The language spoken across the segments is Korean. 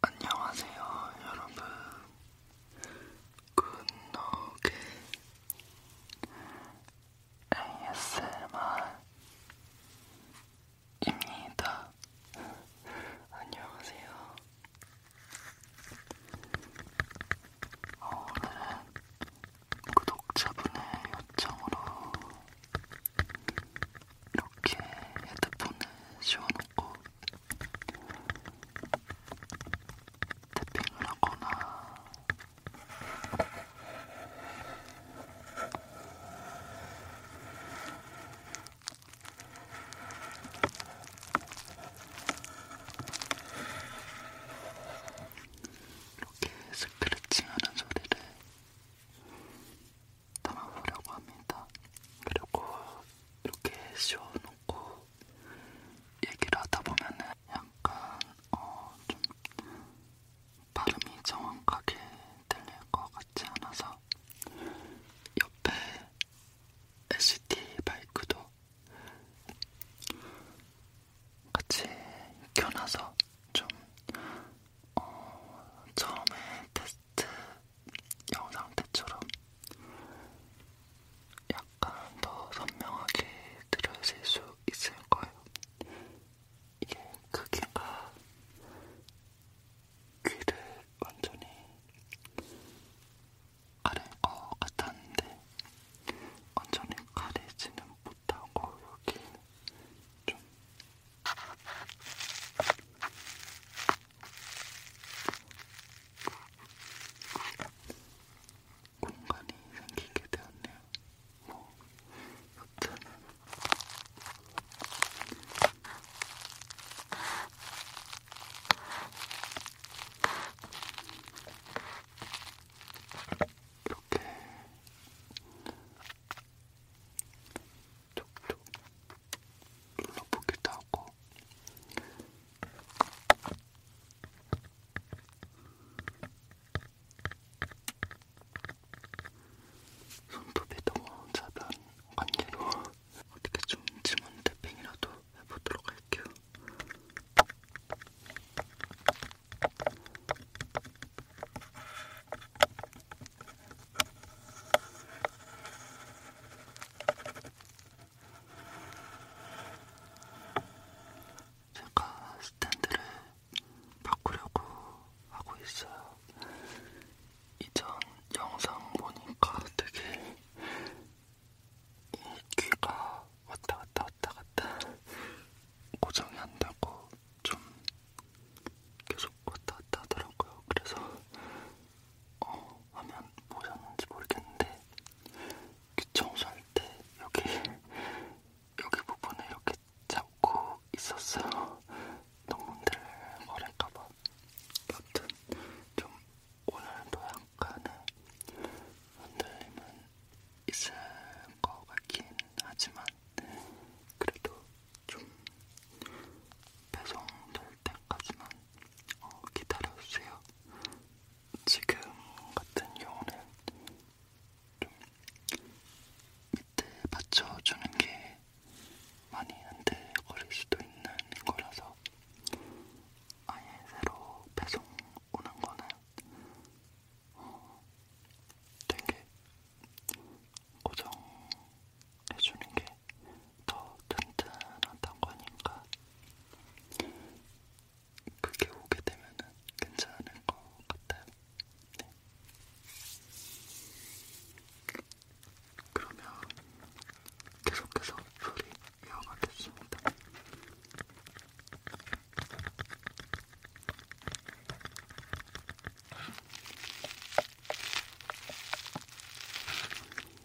안녕하세요, 여러분. 굿노게 ASMR입니다. 안녕하세요. 오늘은 구독자분의 요청으로 이렇게 헤드폰을 씌워놓고 태핑을 하거나 이렇게 스크래칭하는 소리를 담아보려고 합니다. 그리고 이렇게 씌워놓고 얘기를 하다 보면은 약간 어좀 발음이 정확하게 들릴 것 같지 않아서 옆에 LCD 마이크도 같이 켜놔서 좀 어, 처음에 테스트 테스트 영상 때처럼 약간 더 선명하게 들려질 수 있을 거예요. 이게 크기가 그 귀를 완전히 가릴 것 같았는데 완전히 가리지는 못하고 여기 좀 공간이 생기게 되었네요. 뭐, 여튼 이렇게 촉촉 눌러보기도 하고 손톱이 너무 자면 관계로 어떻게 좀 지문 탭핑이라도 해보도록 할게요. 제가 스탠드를 바꾸려고 하고 있어요. 이전 영상 보니까 되게 이 귀가 왔다 갔다 왔다 갔다 고정이 안 되고 좀 계속 왔다 갔다 하더라고요. 그래서 어, 화면 보셨는지 뭐 모르겠는데 귀 청소할 때 여기 여기 부분을 이렇게 잡고 있었어요. 동문들 버릴까봐. 여튼 좀 오늘도 약간의 흔들림은 있을 것 같긴 하지만 그래도 좀 배송될 때까지만 어, 기다려주세요. 지금 같은 경우는 좀 밑에 받쳐주는 게 많이 흔들거릴 수도 있는 거라서 아예 새로 배송 오는 거는 어, 되게 고정 해주는 게더 든든하다고 하니까 그게 오게 되면은 괜찮을 것 같아요. 네. 그러면 계속해서 소리 이어가겠습니다.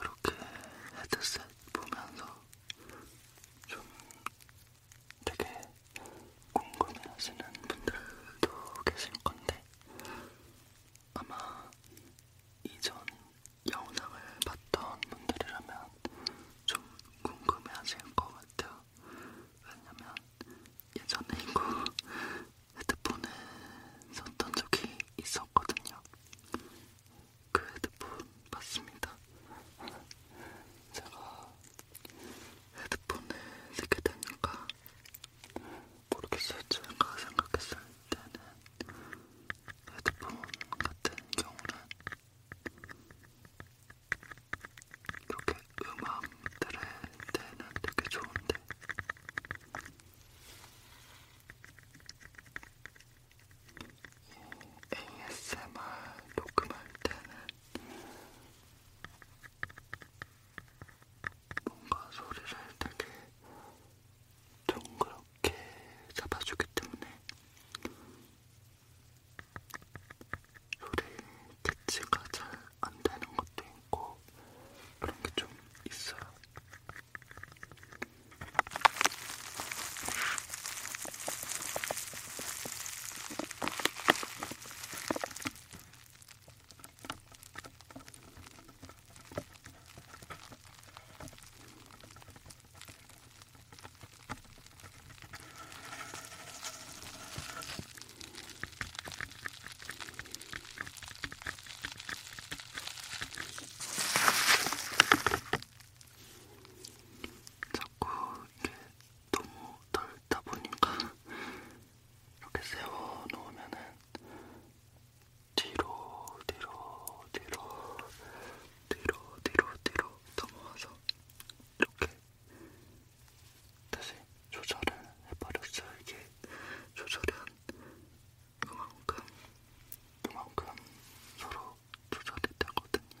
이렇게 헤드셋 보면서 좀 되게 궁금해하시는 분들도 계실 건데 아마 이전 영상을 봤던 분들이라면 좀 궁금해하실 것 같아요. 왜냐면 예전에 이거 헤드폰을 썼던 적이 있었거든요. 그 헤드폰 맞습니다. 제가 헤드폰을 쓰게 되니까 모르겠어요. 제가 생각했을 때는 헤드폰 같은 경우는 이렇게 음악 들을 때는 되게 좋은데 ASMR 녹음할 때는 뭔가 소리를 되게 동그랗게 잡아주기 때문에 소리 캐치가 잘 안 되는 것도 있고 그런 게 좀 있어요. 자꾸 이게 너무 덜다 보니까 이렇게 세워 놓으면은 뒤로 뒤로 뒤로 뒤로 뒤로 뒤로 넘어와서 이렇게 다시 조절을 해버렸어요. 이게 조절이 한 그만큼 그만큼 서로 조절이 되거든요.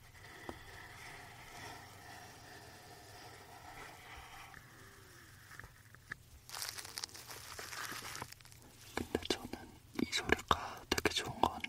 근데 저는 이 소리가 되게 좋은 것 같네요.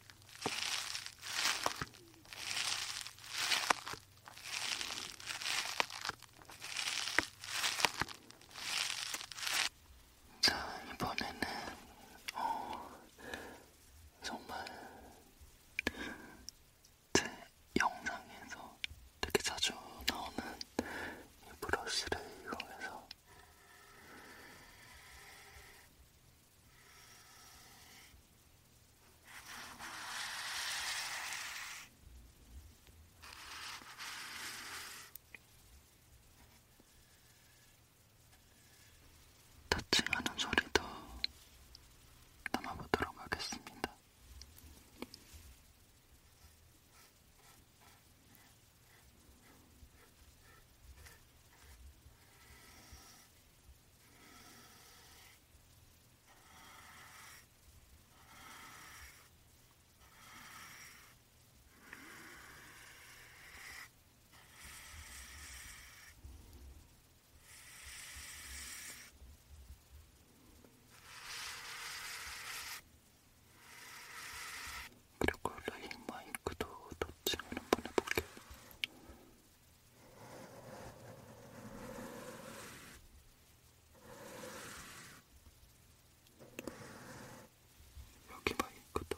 자, 이번에는 어, 정말 제 영상에서 되게 자주 나오는 이 브러쉬를 이용해서 터칭하는 소리도 담아보도록 하겠습니다. 그리고 레인 그 마이크도 터칭을 한번 해볼게요. 여기 봐, 이것도.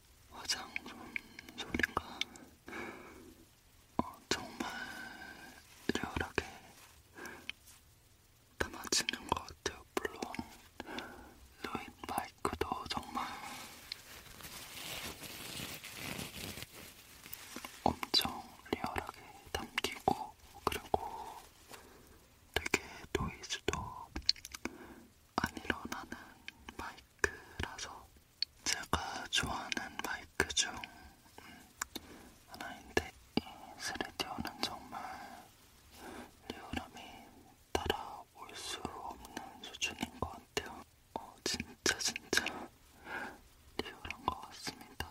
화장품 소리가 어, 정말 리얼하게 담아지는 것 같아요. 물론 루인 마이크도 정말 엄청 리얼하게 담기고 그리고 되게 노이즈도 안 일어나는 마이크 마이크라서 제가 좋아하는 마이크 중 음, 하나인데 이 스레디오는 정말 리얼함이 따라올 수 없는 수준인 것 같아요. 어, 진짜 진짜 리얼한 것 같습니다.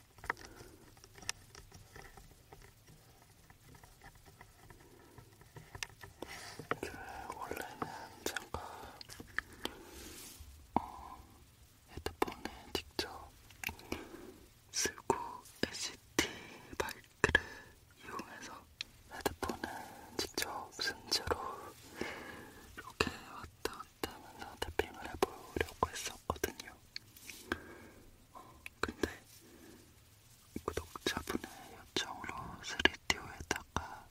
이게 원래는 제가 어, 헤드폰에 직접 쓰고 LCT 마이크를 이용해서 헤드폰을 직접 쓴 채로 이렇게 왔다 갔다 하면서 탭핑을 해보려고 했어요. 있었거든요. 어, 근데 구독자분의 요청으로 3DO에다가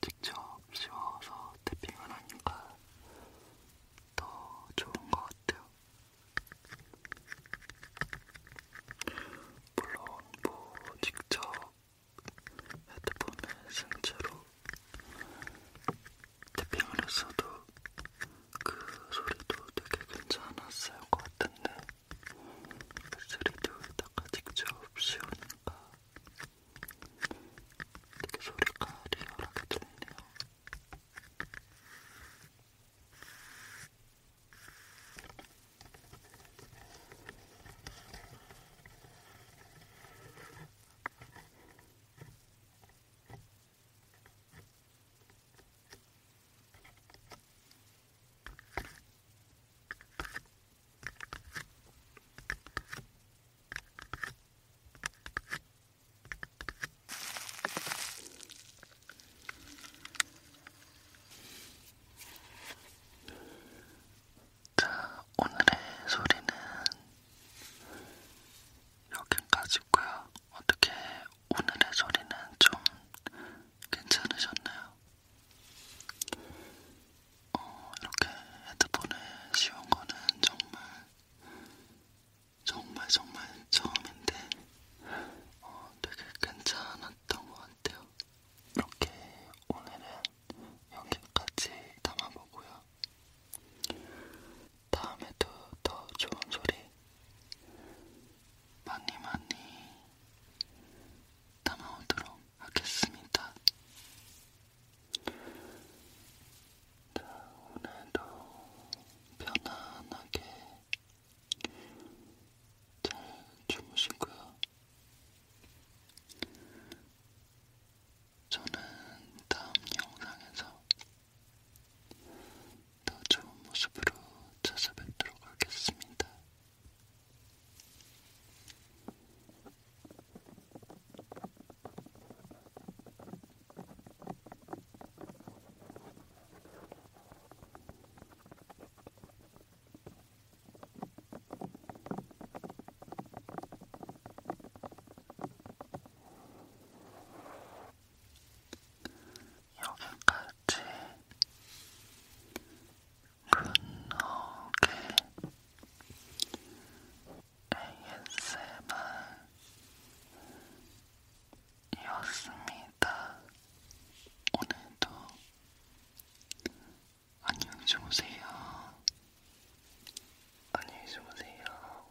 직접 씌워서 탭핑을 하니까 더 좋은 것 같아요. 물론 뭐 직접 헤드폰을 쓴 채로 태핑을 했어도 그 소리도 되게 괜찮았을 것 같은데 쓰리디에다가 직접 씌우니까 되게 소리가 리얼하게 들리네요. 자, 오늘의 소리는 여긴까지고요. 어떻게 오늘의 소리는 좀 괜찮으셨나요? 어, 이렇게 헤드폰을 씌운 거는 정말 정말 정말 처음인데 어, 되게 괜찮았던 것 같아요. 이렇게 오늘은 여기까지 담아보고요. 다음에도 더 좋은 소리 많이 많이 담아오도록 하겠습니다. 자, 오늘도 편안하게 잘 주무시고요. 저는 다음 영상에서 더 좋은 모습으로 찾아뵙도록 하겠습니다. 여기까지 근호게 ASMR이었습니다. 오늘도 안녕히 주무세요. 안녕히 주무세요.